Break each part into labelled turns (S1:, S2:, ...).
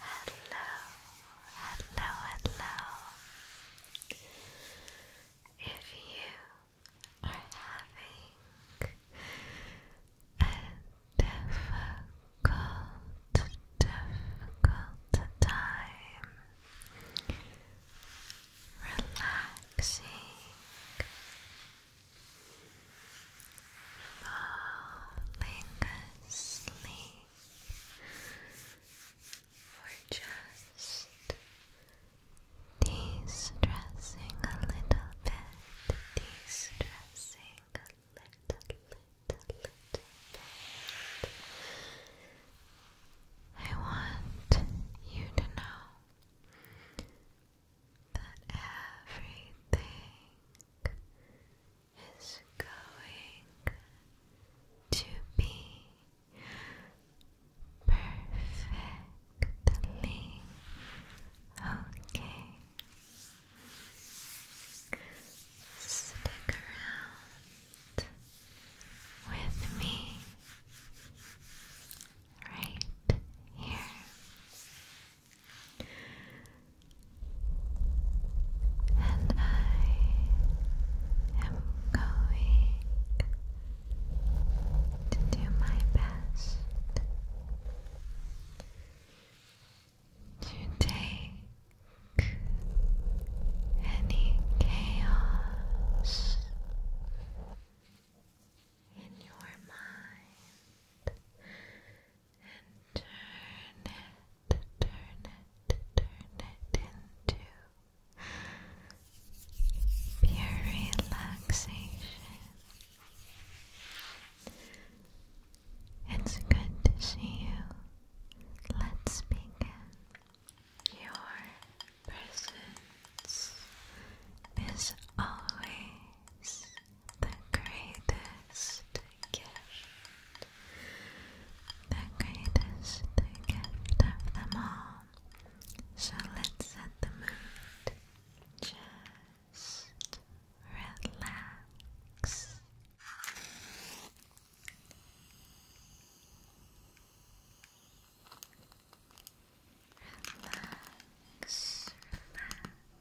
S1: hello, hello, hello. If you are having a difficult, difficult time relaxing falling asleep or just de a little bit, de a little, little, little bit. I want you to know that everything is going to be perfectly okay. Stick around with me right here and I am going to do my best to take any chaos in your mind turn it, turn it, turn it into pure relaxation. It's good to see you. Let's begin. Your presence is always the greatest gift, the greatest gift of them all. So let's set the mood. Just relax. Relax,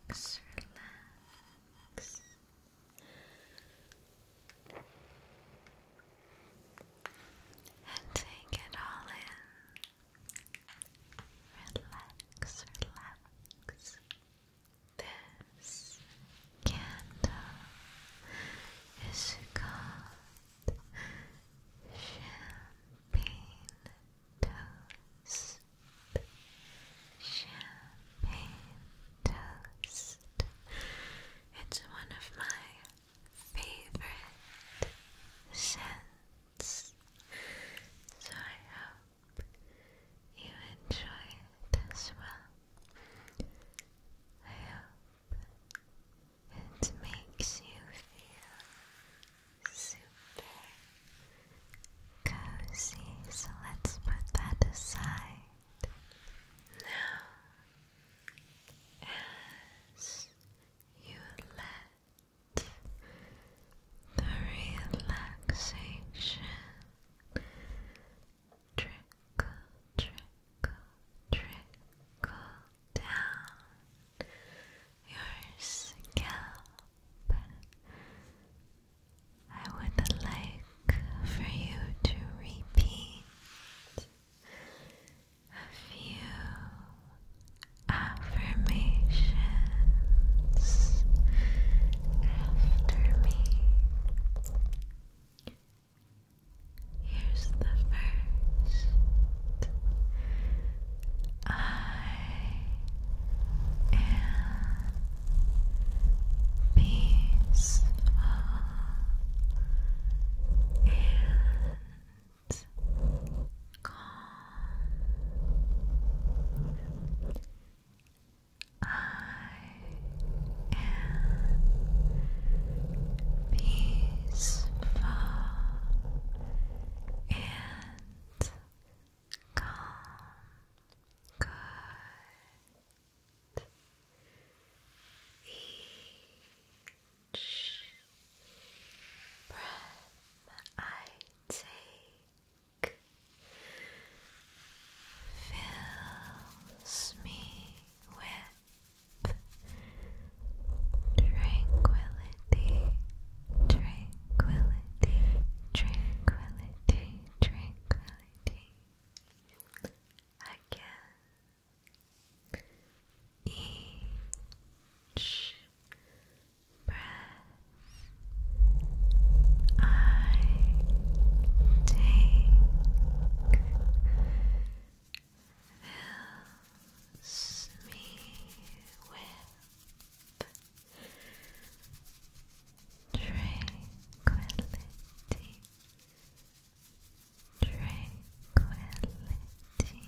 S1: relax, relax. And take it all in. Relax, relax. This candle is called champagne toast, champagne toast. It's one of my favorite scents, so I hope you enjoy it as well. I hope it makes you feel super cozy, so let's put that aside. Now, as you let the relaxation trickle, trickle, trickle down your scalp. I would like for you to repeat a few affirmations after me. Here's the first I am peaceful and calm. I am peaceful and calm, Each breath I take fills me with Tranquility, tranquility, tranquility, tranquility. Again, each breath I take fills tranquility, tranquility. Tranquility, tranquility.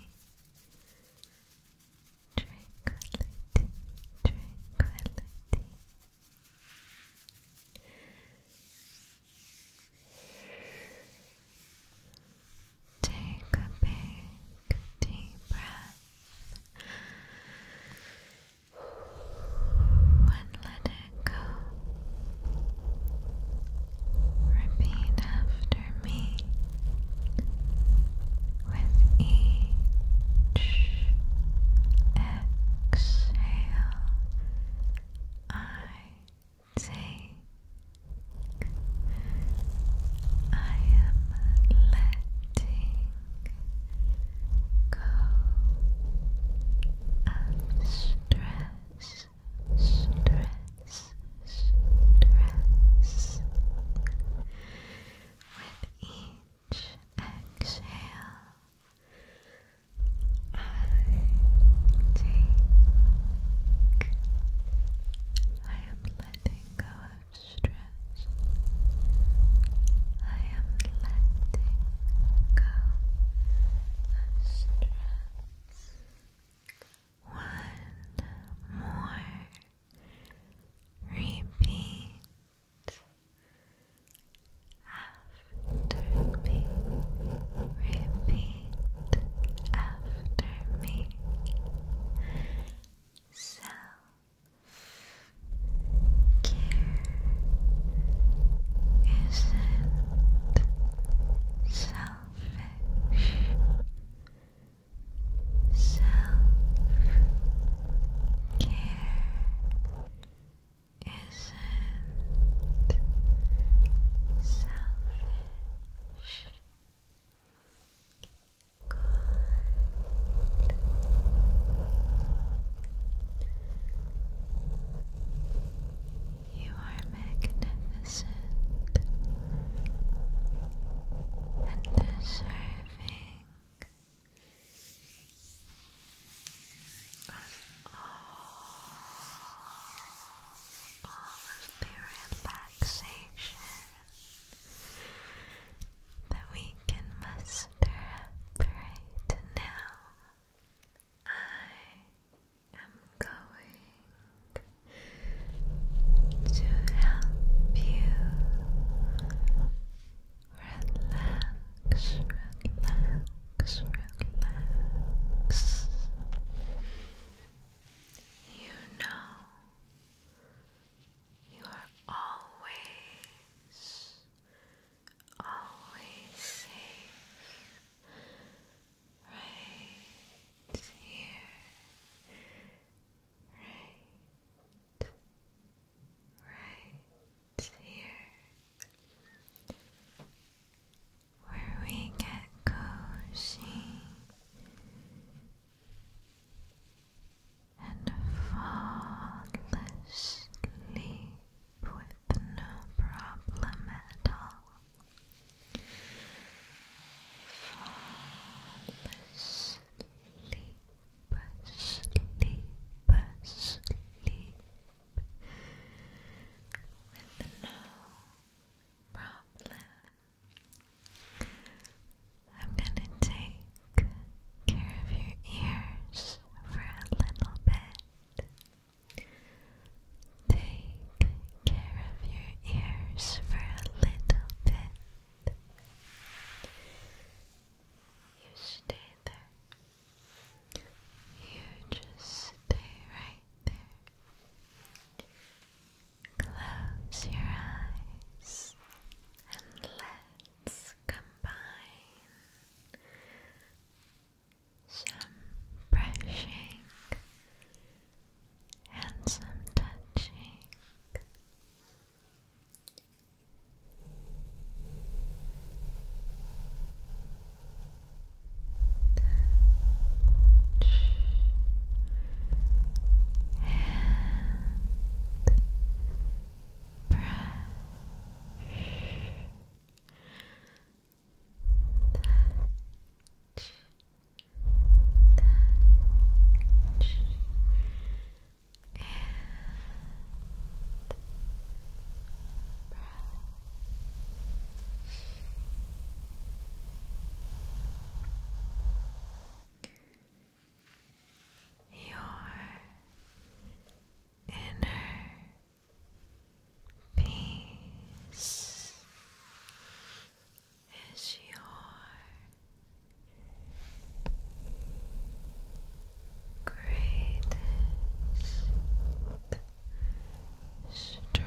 S1: Take a big deep breath and let it go. Repeat after me with each exhale. I take I am letting go of stress, stress, stress with each exhale. I take. I am letting go stress. I am letting go stress. One more repeat after me. Repeat repeat after me. Self care isn't selfish. Self care isn't selfish. Good. You are magnificent and deserving of all, all of the relaxation that we can muster right now. I am going to help you relax, relax, relax. You know you are always, always safe right here, right, right here where we get cozy and fall asleep with no problem at all. Fall asleep, asleep, asleep with no problem I'm gonna take care of your ears for a little bit. Take care of your ears for a little bit. You stay there. You just stay right there. Close your eyes and let's combine some brushing and some touching touch and brush touch touch and brush your inner peace is your greatest strength,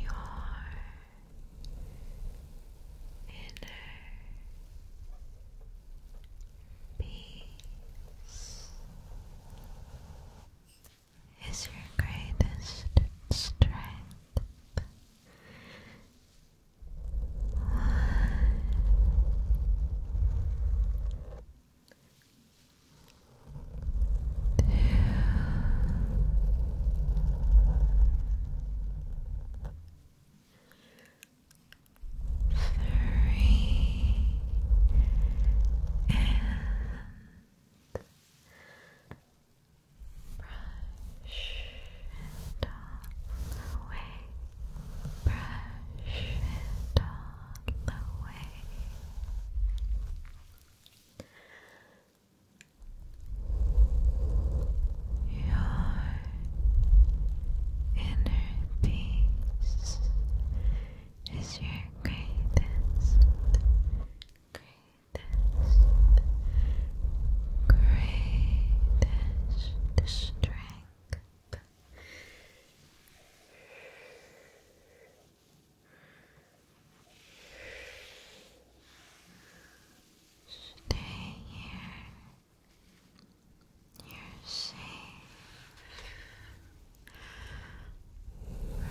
S1: your inner peace is your greatest strength. Two. Three and brush it all away, brush it all the way. Your inner peace is your greatest, greatest, greatest strength. Stay here. You're safe. Brush, brush.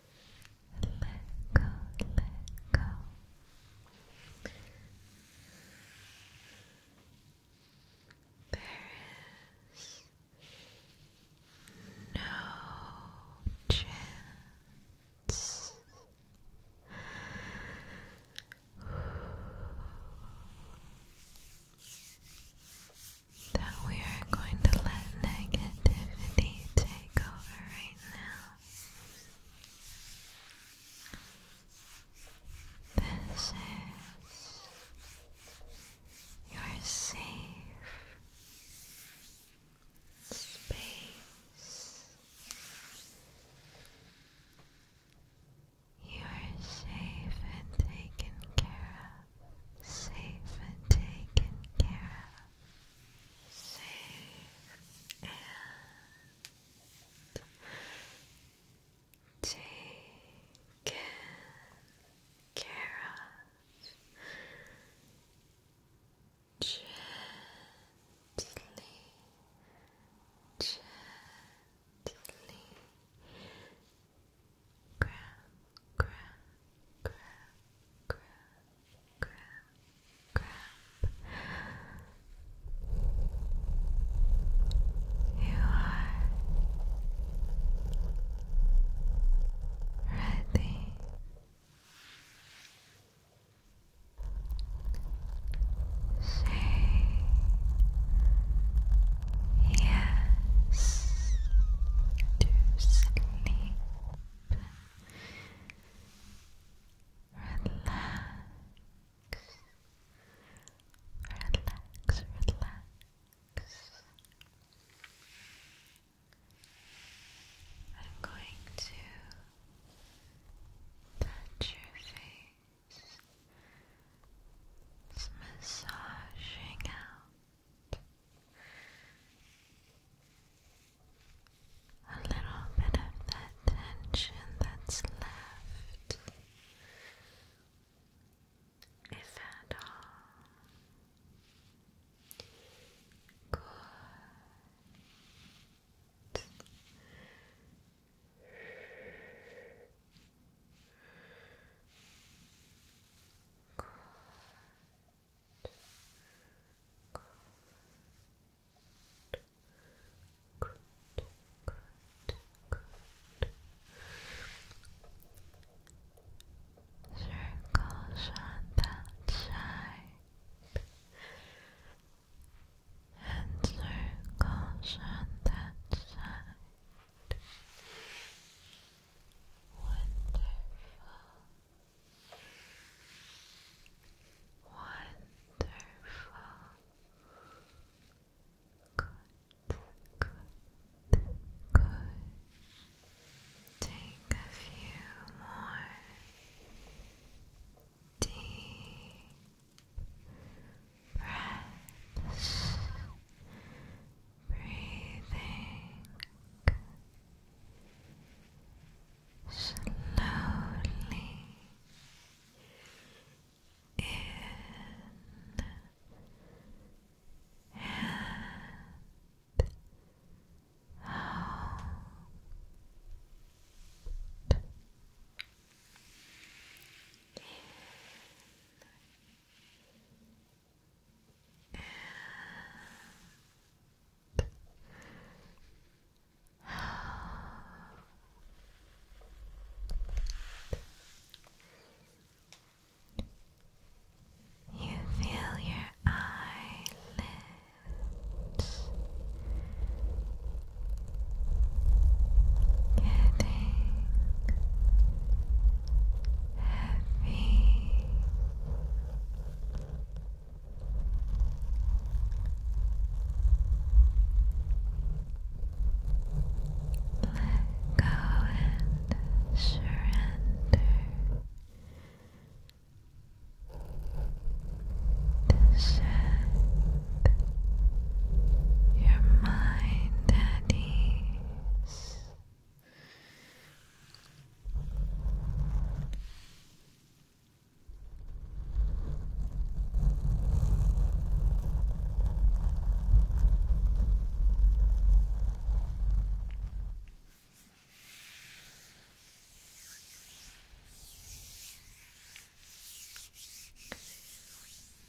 S1: let go, let go. There is no chance. That we are going to let negativity take over right now. This is your safe space. You are safe and taken care of. Safe and taken care safe and care of gently, gently grab, grab, grab, grab grab, grab. You are ready. Say yes to sleep relax, relax. I'm going to touch your face. It's massaging out a little bit of that tension that's left, if at all. Good good, good, Circles on that side, and circles on that side. Wonderful. Wonderful. Good, good, Take a few more deep breaths, breathing slowly in and out. In and you feel your eyelids getting heavy go and surrender to your mind at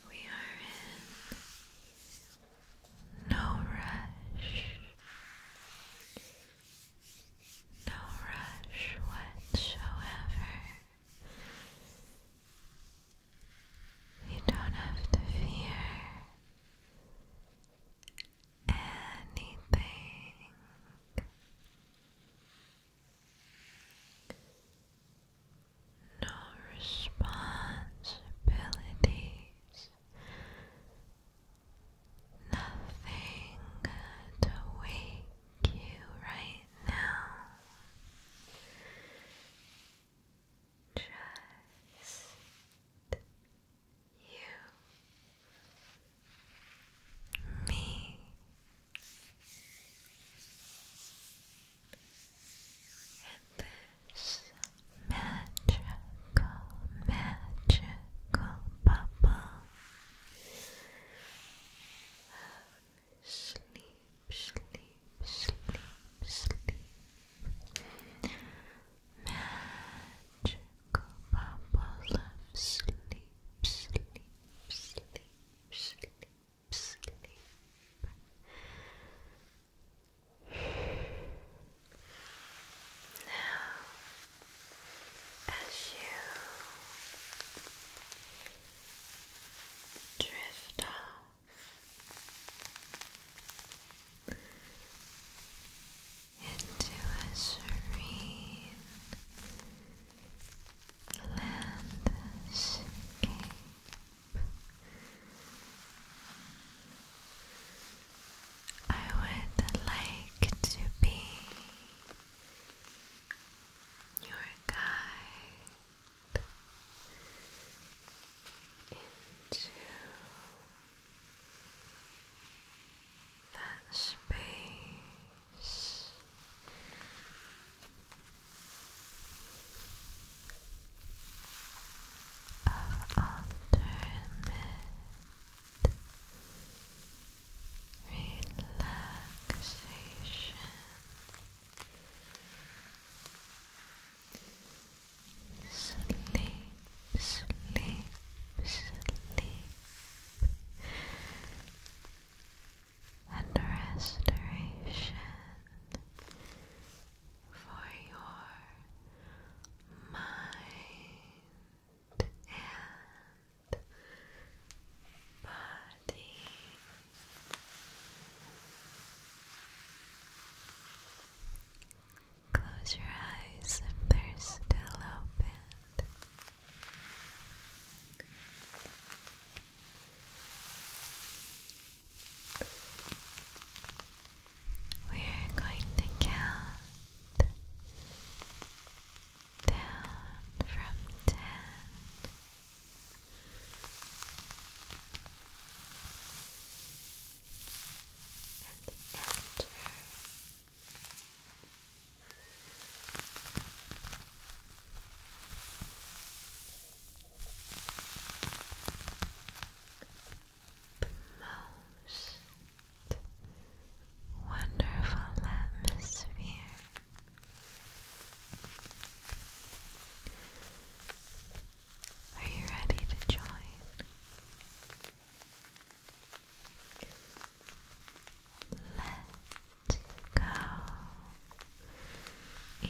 S1: we are in no rush. No rush whatsoever. You don't have to fear anything. No responsibilities Nothing to wake you right now. Just you, me. And this magical, magical bubble sleep, sleep, sleep, sleep magical bubble of sleep, sleep, sleep, sleep, sleep now, as you drift off into a serene landscape. I would like to be your guide into that space of alternate relaxation. Sleep, sleep, sleep, and restoration for your mind and body. Close your eyes if they're still open. We're going to count down from ten the most wonderful atmosphere. Are you ready to join? Let go in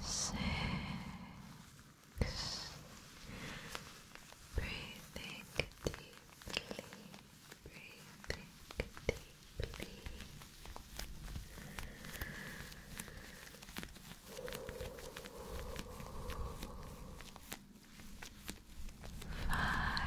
S1: Six. Breathing deeply. Breathing deeply. Five.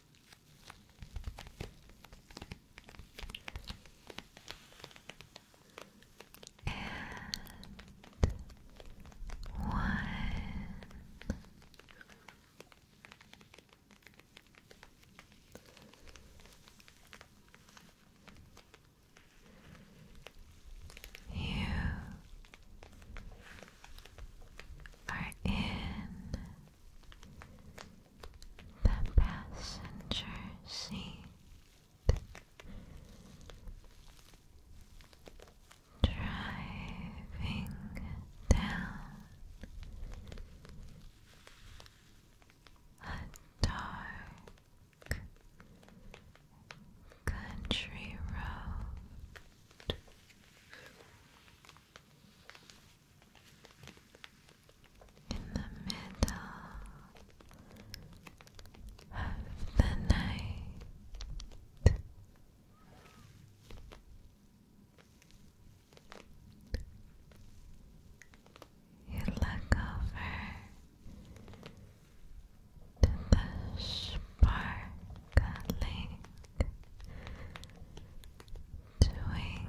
S1: and one. You are in the passenger seat. Driving down a dark country road in the middle of the night. You look over to the sparkling twinkling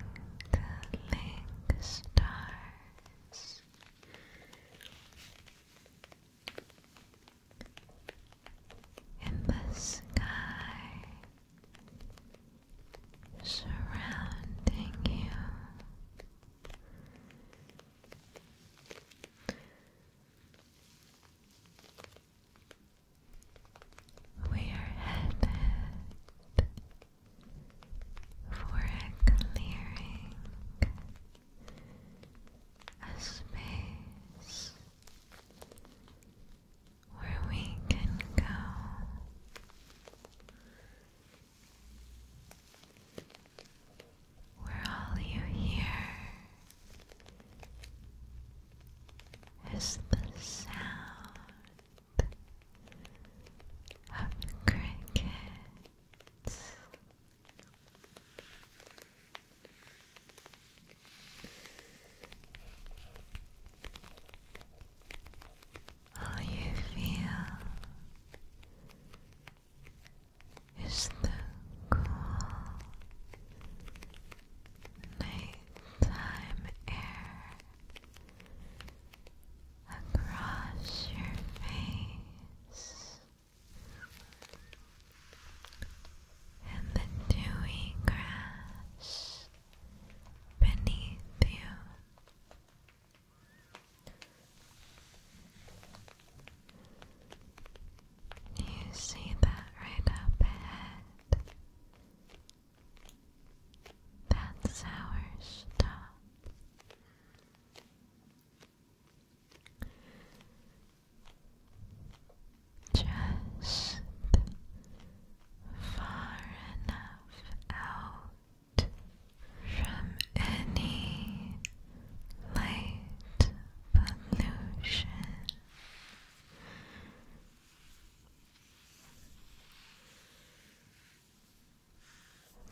S1: stars. In the sky, surrounding you, we are headed for a clearing, a space where we can go. Where all you hear is the sound of crickets. All you feel is the cool nighttime air across your face and the dewy grass beneath you. You see that right up ahead. That's our stop. Just far enough out from any light pollution.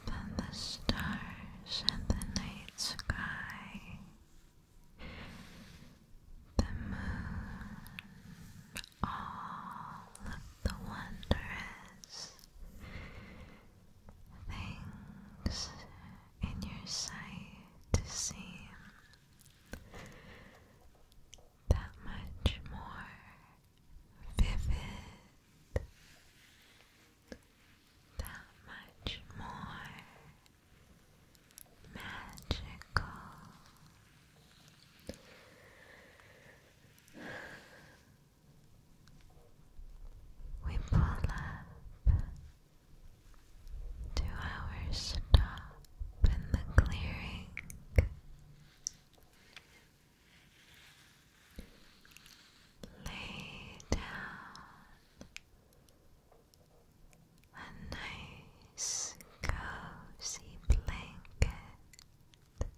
S1: Then the stars and the night sky, the moon, all of the wondrous things in your sight to see that much more vivid, that much more magical. We pull up to our stop in the clearing. Lay down a nice cozy blanket and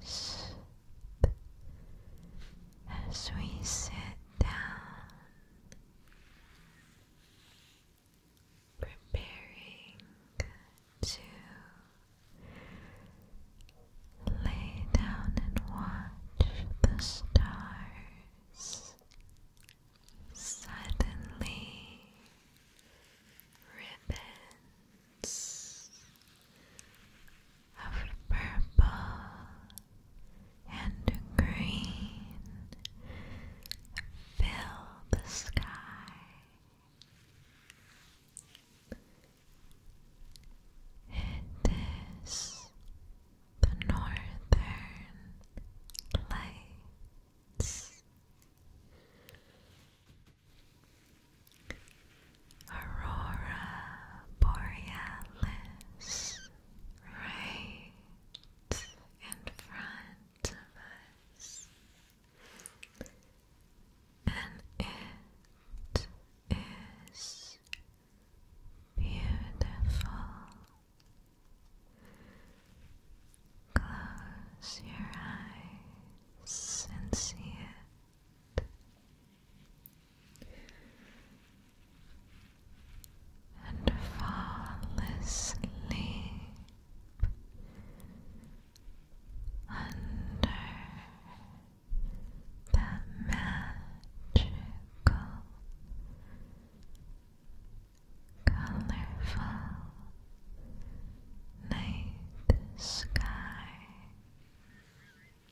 S1: just as we sit down preparing to lay down and watch the stars. Suddenly, ribbons of purple and green fill the sky. It is the northern lights. Aurora Borealis right in front of us. And it is beautiful. Close your eyes and see it and fall asleep under that magical, colorful night sky.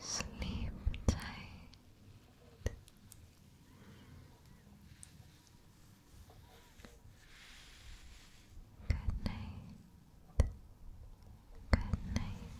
S1: Sleep tight. Good night. Good night.